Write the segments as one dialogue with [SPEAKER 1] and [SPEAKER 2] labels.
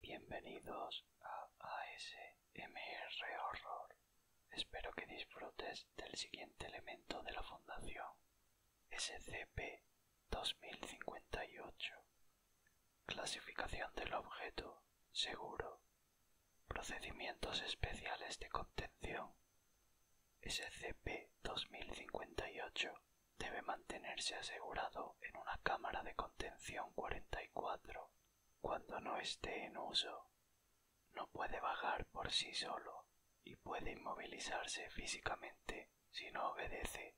[SPEAKER 1] Bienvenidos a ASMR Horror. Espero que disfrutes del siguiente elemento de la Fundación, SCP-2058. Clasificación del objeto, seguro, Procedimientos especiales de contención. SCP-2058 debe mantenerse asegurado en una cámara de contención 44 cuando no esté en uso. No puede bajar por sí solo y puede inmovilizarse físicamente si no obedece.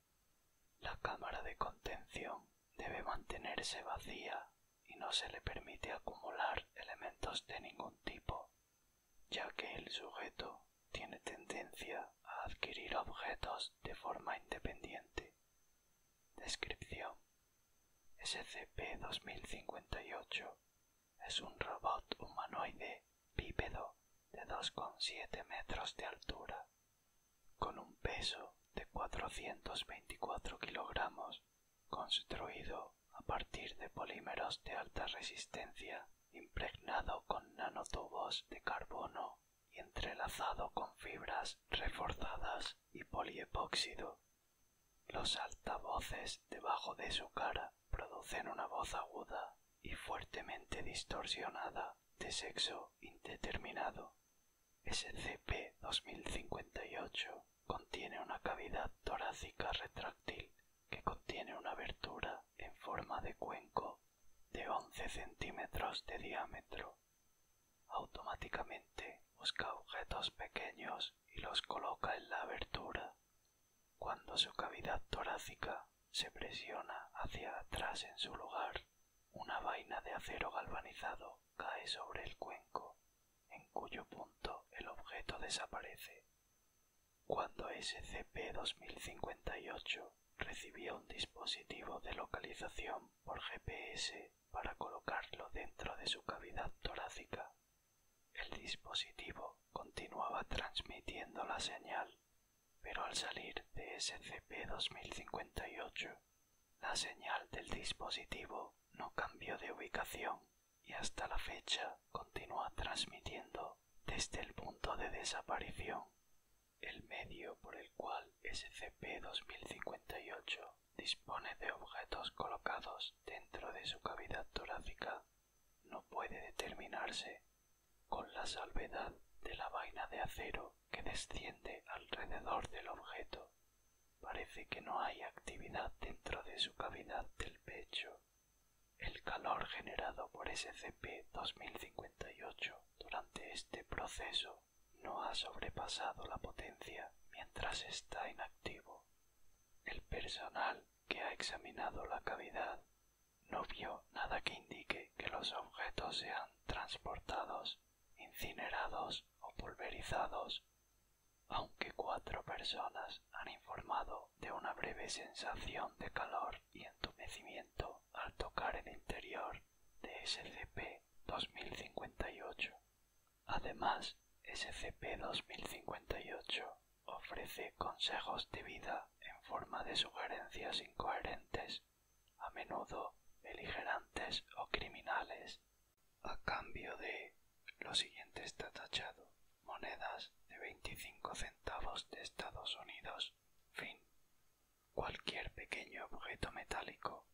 [SPEAKER 1] La cámara de contención debe mantenerse vacía y no se le permite acumular elementos de ningún tipo, ya que el sujeto tiene tendencia a adquirir objetos de forma independiente. Descripción SCP-2058 es un robot humanoide bípedo de 2,7 metros de altura, con un peso de 424 kilogramos, construido a partir de polímeros de alta resistencia impregnado con nanotubos de carbono y entrelazado con fibras reforzadas y poliepóxido. Los altavoces debajo de su cara producen una voz aguda y fuertemente distorsionada de sexo indeterminado. SCP-2058 contiene una cavidad torácica retráctil que contiene una abertura en forma de cuenco de once centímetros de diámetro. Automáticamente busca objetos pequeños y los coloca en la abertura. Cuando su cavidad torácica se presiona hacia atrás en su lugar, una vaina de acero galvanizado cae sobre el cuenco en cuyo punto el objeto desaparece. Cuando SCP-2058 recibía un dispositivo de localización por GPS para colocarlo dentro de su cavidad torácica, el dispositivo continuaba transmitiendo la señal, pero al salir de SCP-2058, la señal del dispositivo no cambió de ubicación y hasta la fecha continúa transmitiendo desde el punto de desaparición, el medio por el cual SCP-2058 dispone de objetos colocados dentro de su cavidad torácica no puede determinarse con la salvedad de la vaina de acero que desciende alrededor del objeto. Parece que no hay actividad dentro de su cavidad del pecho. El calor generado por SCP-2058 durante este proceso no ha sobrepasado la potencia mientras está inactivo. El personal que ha examinado la cavidad no vio nada que indique que los objetos sean transportados, incinerados o pulverizados aunque cuatro personas han informado de una breve sensación de calor y entumecimiento al tocar el interior de SCP-2058. Además, SCP-2058 ofrece consejos de vida en forma de sugerencias incoherentes, a menudo beligerantes o criminales, a cambio de lo siguiente está tachado. Monedas de veinticinco centavos de Estados Unidos. Fin. Cualquier pequeño objeto metálico.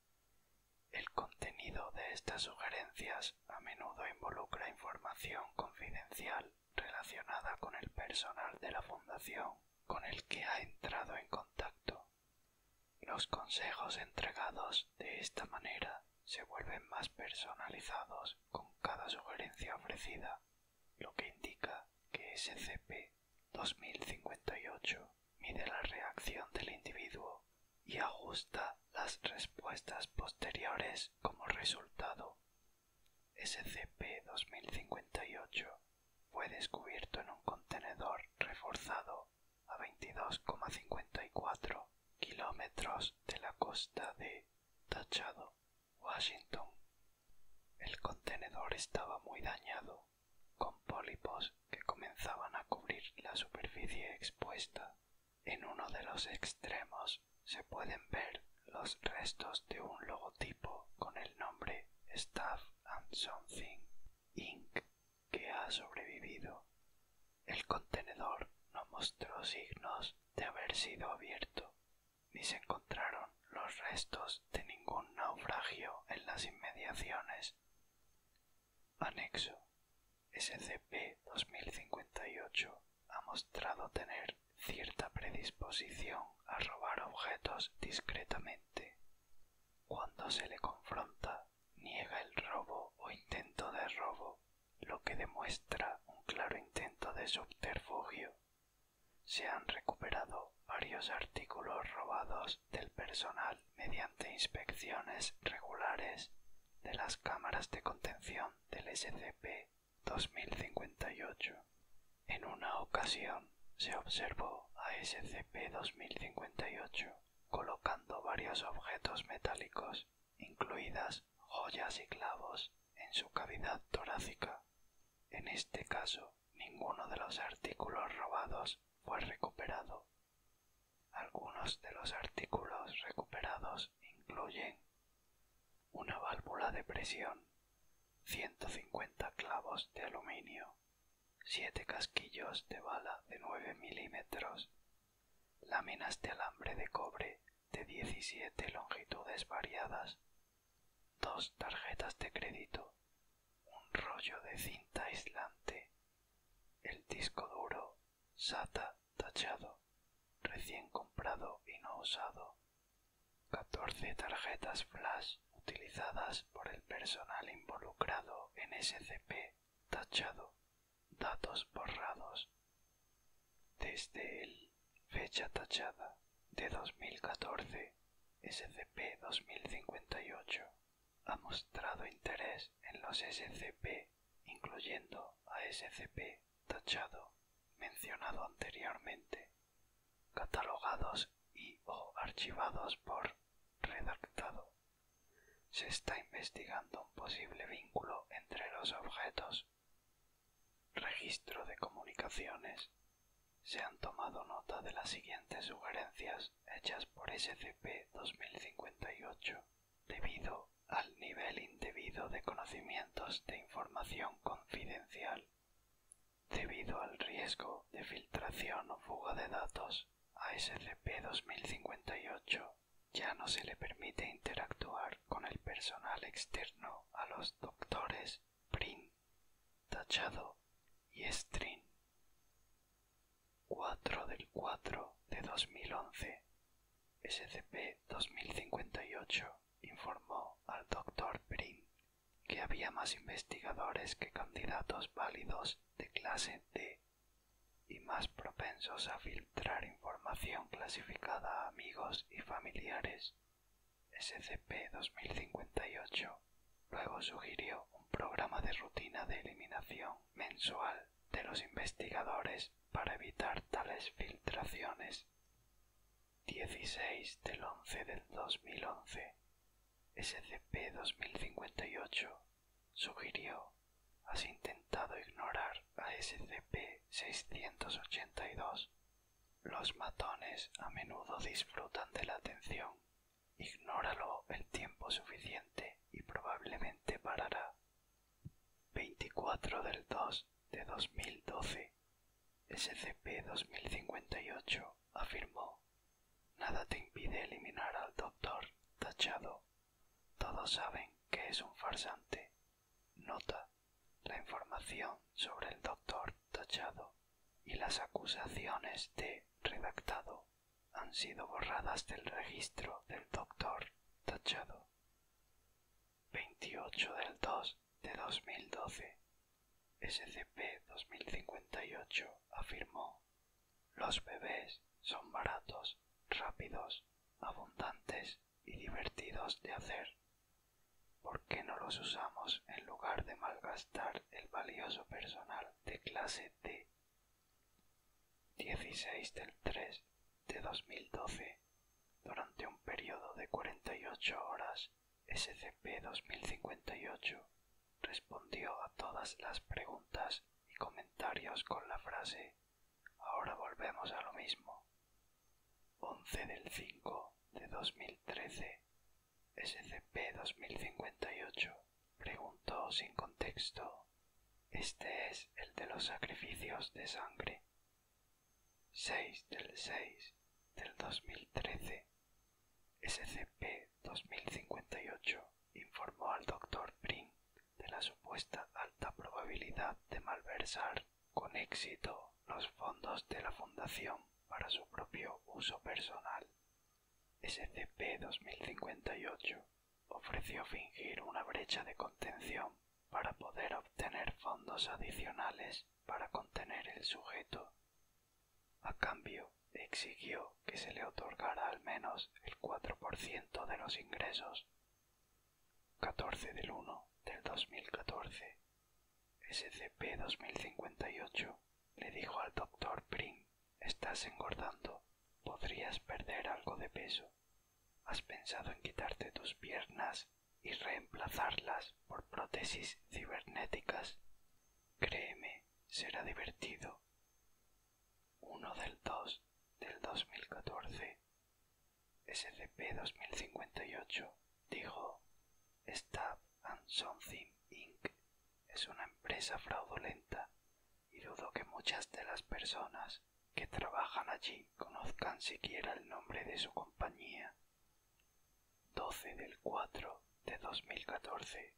[SPEAKER 1] El contenido de estas sugerencias a menudo involucra información confidencial relacionada con el personal de la fundación con el que ha entrado en contacto. Los consejos entregados de esta manera se vuelven más personalizados con cada sugerencia ofrecida, lo que indica que SCP-2058 mide la reacción del individuo y ajusta las respuestas posteriores como resultado. SCP-2058 fue descubierto en un contenedor reforzado a 22,54 kilómetros de la costa de Tachado, Washington. El contenedor estaba muy dañado, con pólipos que comenzaban a cubrir la superficie expuesta. En uno de los extremos se pueden ver los restos de un logotipo con el nombre Staff and Something Inc que ha sobrevivido. El contenedor no mostró signos de haber sido abierto, ni se encontraron los restos de ningún naufragio en las inmediaciones. Anexo. SCP-2058 ha mostrado tener cierta predisposición a robar objetos discretamente. Cuando se le confronta niega el robo o intento de robo, lo que demuestra un claro intento de subterfugio. Se han recuperado varios artículos robados del personal mediante inspecciones regulares de las cámaras de contención del SCP-2058. En una ocasión se observó a SCP-2058 colocando varios objetos metálicos, incluidas joyas y clavos, en su cavidad torácica. En este caso, ninguno de los artículos robados fue recuperado. Algunos de los artículos recuperados incluyen una válvula de presión, 150 clavos de aluminio, siete casquillos de bala de nueve milímetros, láminas de alambre de cobre de 17 longitudes variadas, dos tarjetas de crédito, un rollo de cinta aislante, el disco duro SATA tachado, recién comprado y no usado, catorce tarjetas flash, utilizadas por el personal involucrado en SCP tachado datos borrados desde el fecha tachada de 2014 SCP-2058 ha mostrado interés en los SCP incluyendo a SCP tachado mencionado anteriormente catalogados y o archivados por redactado se está investigando un posible vínculo entre los objetos. Registro de comunicaciones. Se han tomado nota de las siguientes sugerencias hechas por SCP-2058 debido al nivel indebido de conocimientos de información confidencial, debido al riesgo de filtración o fuga de datos a SCP-2058 ya no se le permite interactuar con el personal externo a los doctores Prin, Tachado y Strin. 4 del 4 de 2011 SCP-2058 informó al Dr. Prin que había más investigadores que candidatos válidos de clase D y más propensos a filtrar información clasificada a amigos y familiares. SCP-2058 luego sugirió un programa de rutina de eliminación mensual de los investigadores para evitar tales filtraciones. 16 del 11 del 2011 SCP-2058 sugirió has intentado ignorar a SCP-682. Los matones a menudo disfrutan de la atención. Ignóralo el tiempo suficiente y probablemente parará. 24 del 2 de 2012 SCP-2058 afirmó Nada te impide eliminar al doctor Tachado. Todos saben que es un farsante. Nota. La información sobre el doctor Tachado y las acusaciones de redactado han sido borradas del registro del doctor Tachado. 28 del 2 de 2012 SCP-2058 afirmó, los bebés son baratos, rápidos, abundantes y divertidos de hacer. ¿Por qué no los usamos en lugar de malgastar el valioso personal de clase D? 16 del 3 de 2012 Durante un periodo de 48 horas, SCP-2058 respondió a todas las preguntas y comentarios con la frase Ahora volvemos a lo mismo. 11 del 5 de 2013 SCP-2058 preguntó sin contexto Este es el de los sacrificios de sangre. 6 del 6 del 2013 SCP 2058 informó al doctor Pring de la supuesta alta probabilidad de malversar con éxito los fondos de la Fundación para su propio uso personal. SCP-2058 ofreció fingir una brecha de contención para poder obtener fondos adicionales para contener el sujeto a cambio, exigió que se le otorgara al menos el 4% de los ingresos. 14 del 1 del 2014. SCP-2058 le dijo al doctor Prim, estás engordando, podrías perder algo de peso. ¿Has pensado en quitarte tus piernas y reemplazarlas por prótesis cibernéticas? Créeme, será divertido. 1 del 2 del 2014. SCP-2058 dijo, Stab and Something Inc. es una empresa fraudulenta y dudo que muchas de las personas que trabajan allí conozcan siquiera el nombre de su compañía. 12 del 4 de 2014,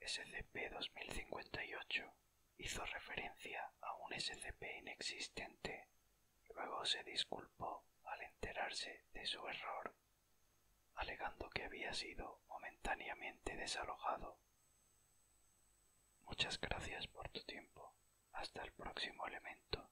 [SPEAKER 1] SCP-2058 hizo referencia a un SCP inexistente. Luego se disculpó al enterarse de su error, alegando que había sido momentáneamente desalojado. Muchas gracias por tu tiempo. Hasta el próximo elemento.